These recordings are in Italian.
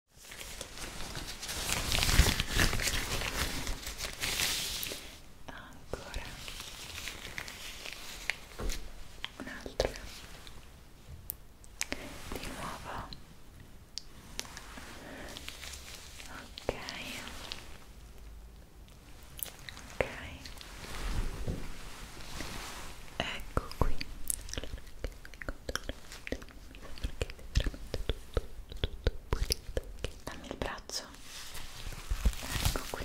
Ancora un'altra di nuovo. Ok, ok, ecco qui. Allora, perché è veramente tutto, tutto pulito dammi il braccio ecco qui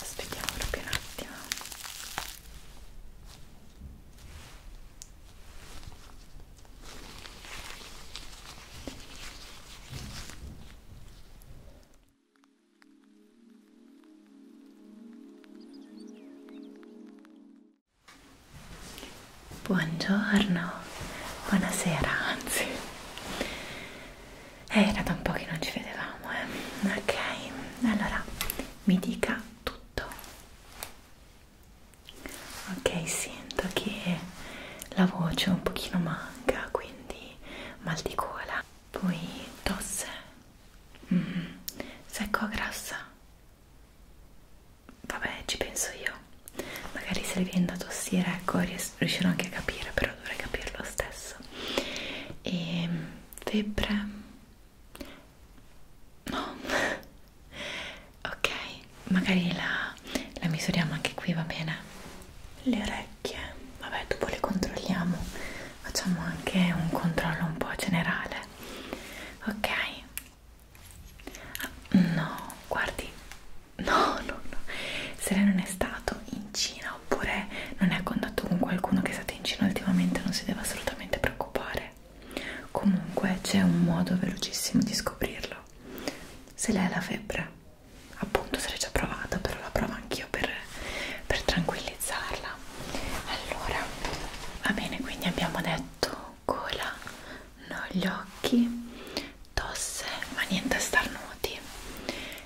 aspettiamo proprio un attimo Buongiorno, buonasera, anzi eh, era da un po' che non ci vedevamo, eh? ok, allora mi dica tutto. Ok, sento che la voce un pochino manca, quindi mal di gola, poi tosse Mm, secco grassa? Vabbè, ci penso io. Magari se le viene da tossire, ecco, ries riuscirò anche a capire, però dovrei capirlo stesso. E ehm, febbre? No. ok, magari la, la misuriamo anche qui, va bene? Le orecchie orecchie vabbè dopo le controlliamo facciamo anche un controllo un po' generale ok ah, no guardi no no no se lei non è stato in Cina oppure non è a contatto con qualcuno che è stato in Cina ultimamente non si deve assolutamente preoccupare comunque c'è un modo velocissimo di scoprirlo se lei ha la febbre appunto se l'hai già provata però la provo anch'io per, per tranquillizzarla allora va bene quindi abbiamo detto gola no gli occhi tosse ma niente starnuti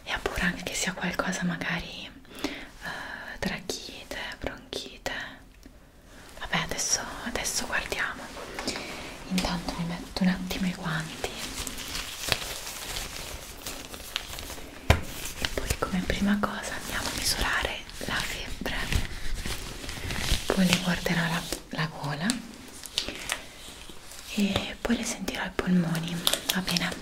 e pure anche che sia qualcosa magari eh, trachite bronchite vabbè adesso, adesso guardiamo intanto mi metto un attimo i guanti e poi come prima cosa andiamo a misurare la febbre poi le guarderò la, la gola e poi le sentirò i polmoni va bene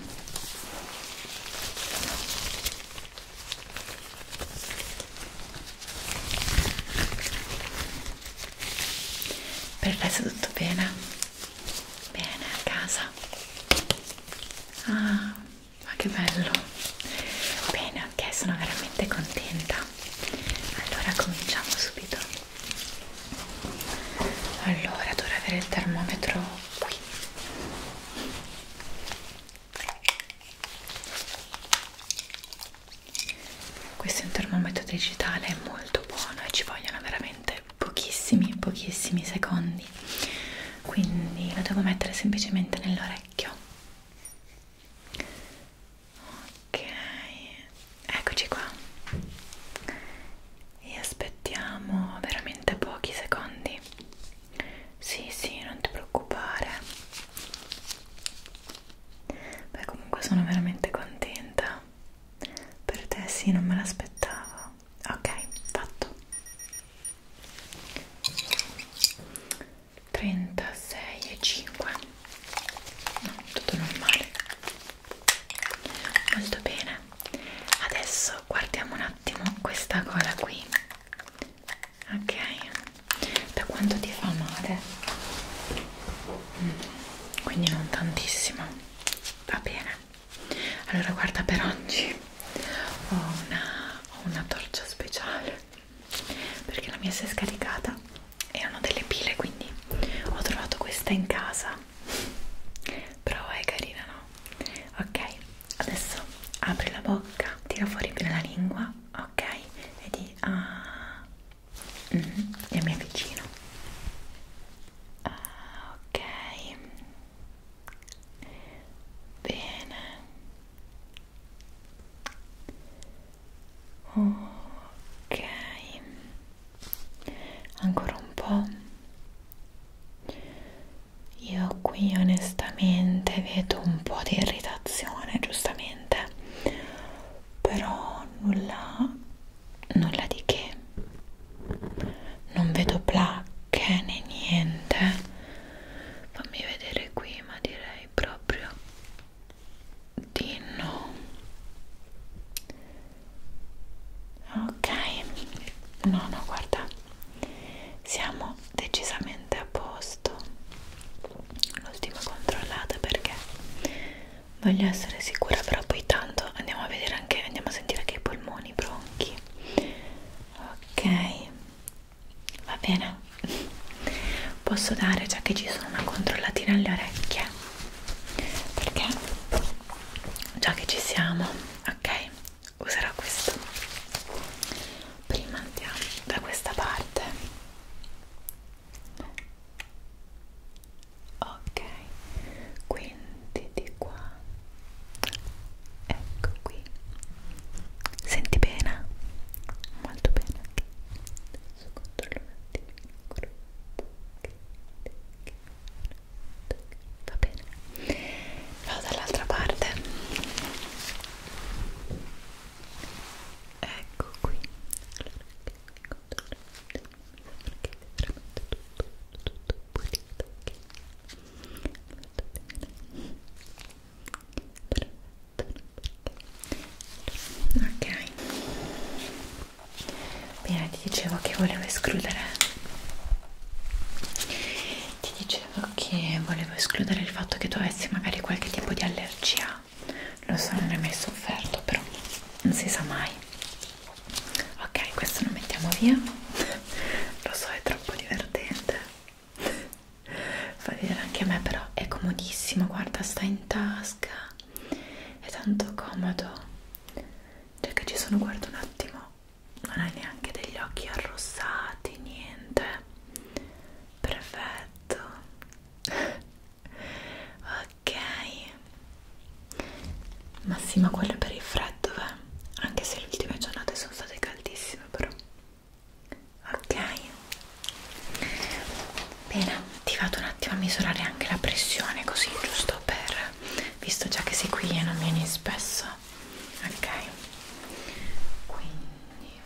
per adesso tutto bene bene a casa ah ma che bello bene ok sono veramente contenta allora cominciamo subito allora dovrei avere il termometro qui questo è un termometro digitale molto buono e ci vogliono veramente per pochissimi pochissimi secondi quindi lo devo mettere semplicemente nell'orecchio ok eccoci qua e aspettiamo veramente pochi secondi sì sì non ti preoccupare beh comunque sono veramente contenta per te sì, non me l'aspettavo. Ok, fatto. 36 e 5. No, tutto normale. Molto bene. Adesso guardiamo un attimo questa cosa qui. Ok. Da quanto ti fa male? Mm, quindi non tantissimo va bene allora guarda per oggi ho una, ho una torcia speciale perché la mia si è scaricata erano delle pile quindi ho trovato questa in casa però è carina no? ok adesso apri la bocca tira fuori bene la lingua ok e di ah mm -hmm. e mi avvicino ah, ok bene ok ancora un po' io qui onestamente vedo un po' di irritazione giustamente però nulla nulla di che non vedo placche né niente fammi vedere qui ma direi proprio di no ok no no guarda siamo decisamente a posto l'ultima controllata perché voglio essere sicura però poi tanto andiamo a vedere anche andiamo a sentire anche i polmoni, i bronchi ok va bene posso dare già che ci sono una controllatina alle orecchie perché già che ci siamo ok userò questo prima andiamo da questa parte no ok quindi di qua ecco qui senti bene molto bene anche adesso controllo un attimino va bene vado dall'altra parte ecco qui allora, ok bene ti dicevo che volevo escludere ti dicevo che volevo escludere il fatto che tu avessi magari qualche tipo di allergia lo so non è mai sofferto però non si sa mai ok questo lo mettiamo via lo so è troppo divertente fa vedere anche a me però è comodissimo guarda sta in tasca è tanto comodo cioè che ci sono guarda un attimo non hai neanche degli occhi arrossati niente perfetto ok massima quella per il freddo eh? anche se le ultime giornate sono state caldissime però ok bene ti vado un attimo a misurare anche la pressione così giusto per visto già che sei qui e non vieni spesso ok quindi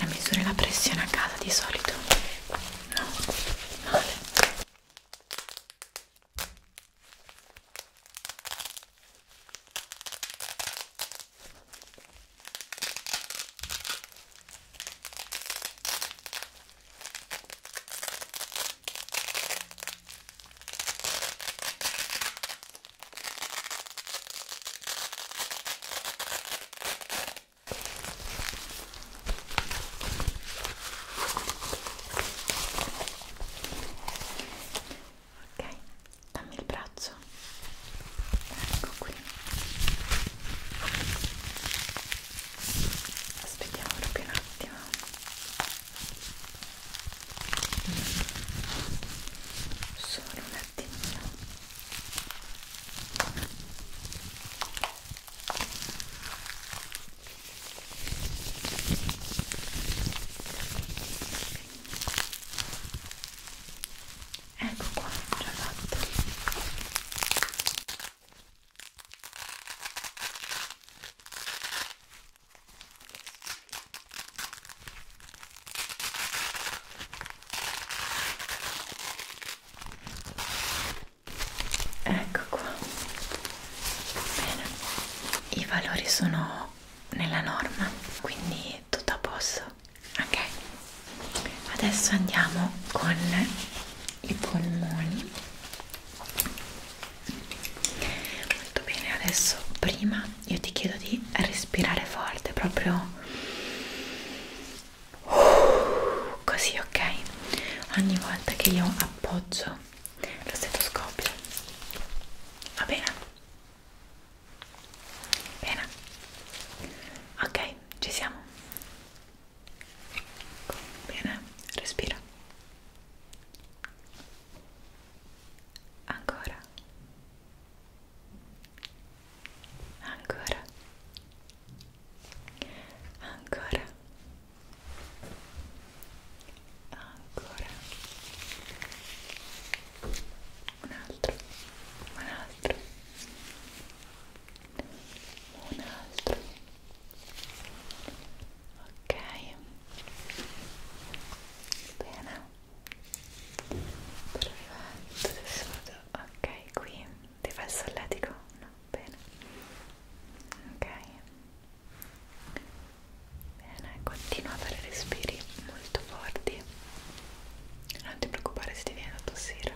la misura la pressione a casa di solito? No, male. Ok, dammi il braccio. Ecco qui aspettiamo proprio un attimo solo un attimino ok ecco qua già fatto ecco qua bene i valori sono nella norma quindi tutto a posto ok adesso andiamo con i polmoni molto bene adesso prima io ti chiedo di respirare forte proprio così ok ogni volta che io appoggio lo stetoscopio va bene bene ok ci siamo? Ecco, bene, respira. Ancora. Ancora. Ancora. Ancora. Un altro. Un altro un altro ok bene perfetto adesso vado ok qui ti fai il solletico? no bene ok bene continua a fare respiri molto forti non ti preoccupare se ti viene da tossire.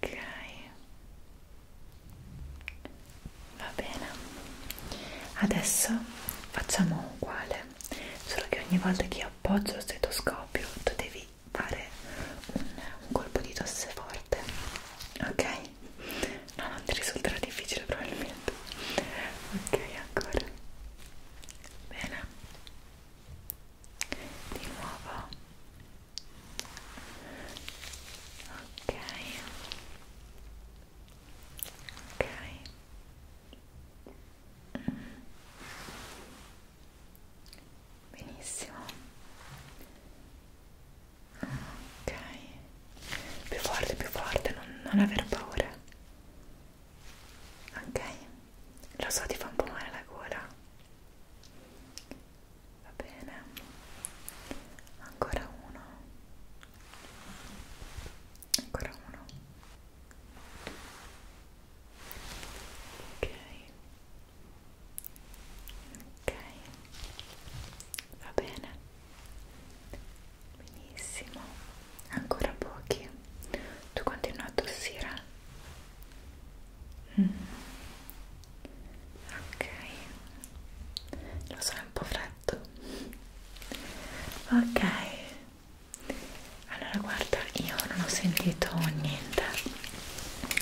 Ok. Va bene. Adesso facciamo uguale, solo che ogni volta che io appoggio lo stetoscopio tu devi fare un, un colpo di tosse forte. Ok? No, non ti risulterà difficile probabilmente. Ok, ancora. Bene. Di nuovo. Ok. Ok. Mm. Benissimo ok più forte più forte non, non aver paura ok lo so ti fa un po' male la gola va bene ancora uno ancora uno ok ok va bene benissimo ancora pochi tu continui a tossire mm. ok lo so è un po' freddo ok allora guarda io non ho sentito niente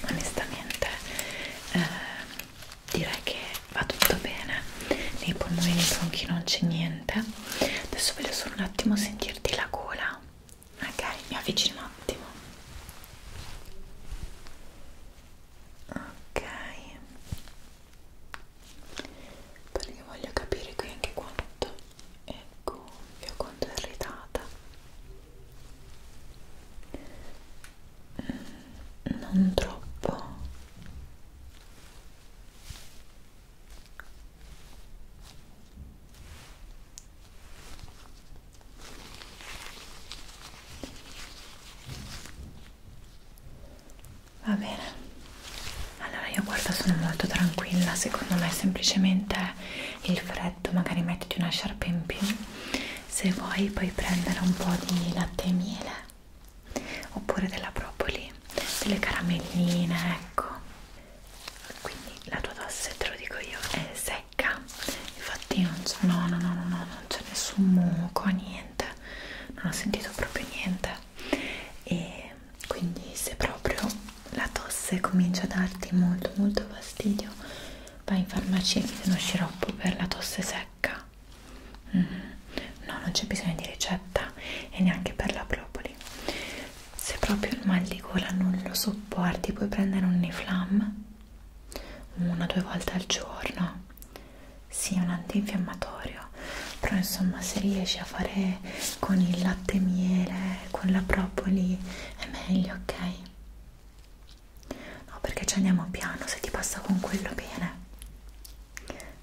onestamente eh, direi che va tutto bene nei polmoni nei bronchi non c'è niente adesso voglio solo un attimo sentirti la gola ok mi avvicino un attimo ok perché voglio capire qui anche quanto è gonfia quanto è irritata non troppo va bene allora io guarda sono molto tranquilla secondo me semplicemente il freddo magari mettiti una sciarpa in più se vuoi puoi prendere un po' di latte e miele oppure della propoli delle caramelline ecco quindi la tua tosse te lo dico io è secca infatti non no no no no no non c'è nessun muco niente non ho sentito proprio niente e quindi se proprio la tosse comincia a darti molto molto fastidio vai in farmacia e chiedi uno sciroppo per la tosse secca Mm -hmm. No, non c'è bisogno di ricetta e neanche per la propoli. Se proprio il mal di gola non lo sopporti, puoi prendere un Niflam una o due volte al giorno. Sì, un antinfiammatorio, però insomma, se riesci a fare con il latte miele, con la propoli, è meglio, ok? no perché ci andiamo piano se ti passa con quello bene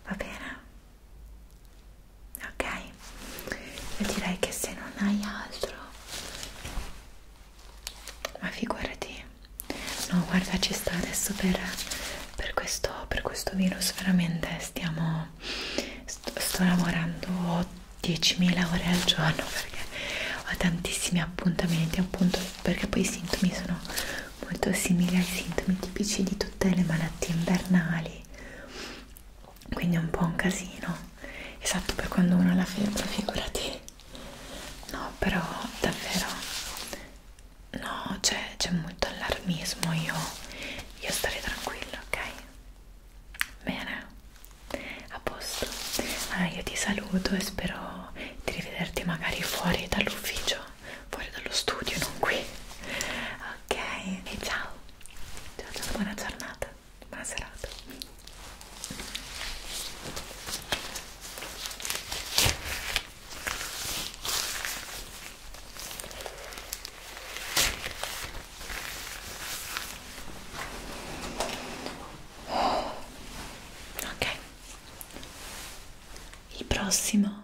va bene ok io direi che se non hai altro ma figurati no guarda ci sta adesso per, per questo per questo virus veramente stiamo sto, sto lavorando 10.000 ore al giorno perché ho tantissimi appuntamenti appunto perché poi i sintomi sono molto simili ai sintomi tipici di tutte le malattie invernali quindi è un po' un casino esatto per quando uno ha la febbre figurati no però davvero no c'è molto allarmismo io, io starei tranquilla ok bene a posto allora ah, io ti saluto e spero di rivederti magari fuori dall'ufficio fuori dallo studio non qui ok e ciao ciao ciao buona giornata buona serata ok il prossimo